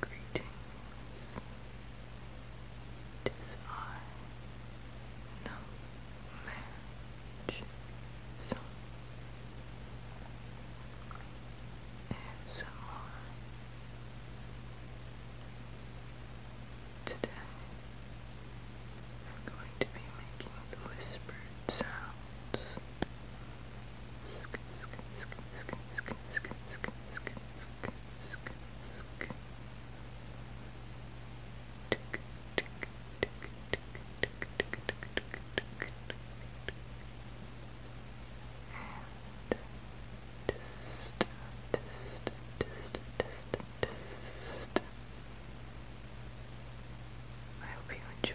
Greetings. Tis I, no match, so ASMR. Today I'm going to be making the whispered sounds. Sk sk sk sk sk sk sk sk sk sk sk tick tick tick tick tick tick tick tick tick and test test test test I hope you enjoy.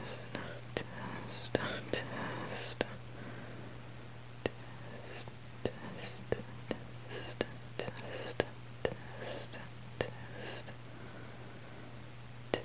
Test, test, test. Test, test, test, test, test, test. Test. Test.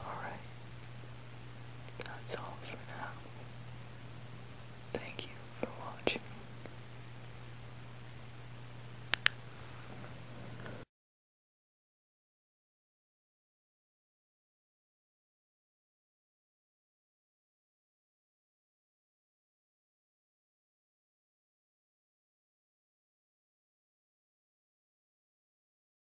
Alright. That's all for now. Thank you for watching.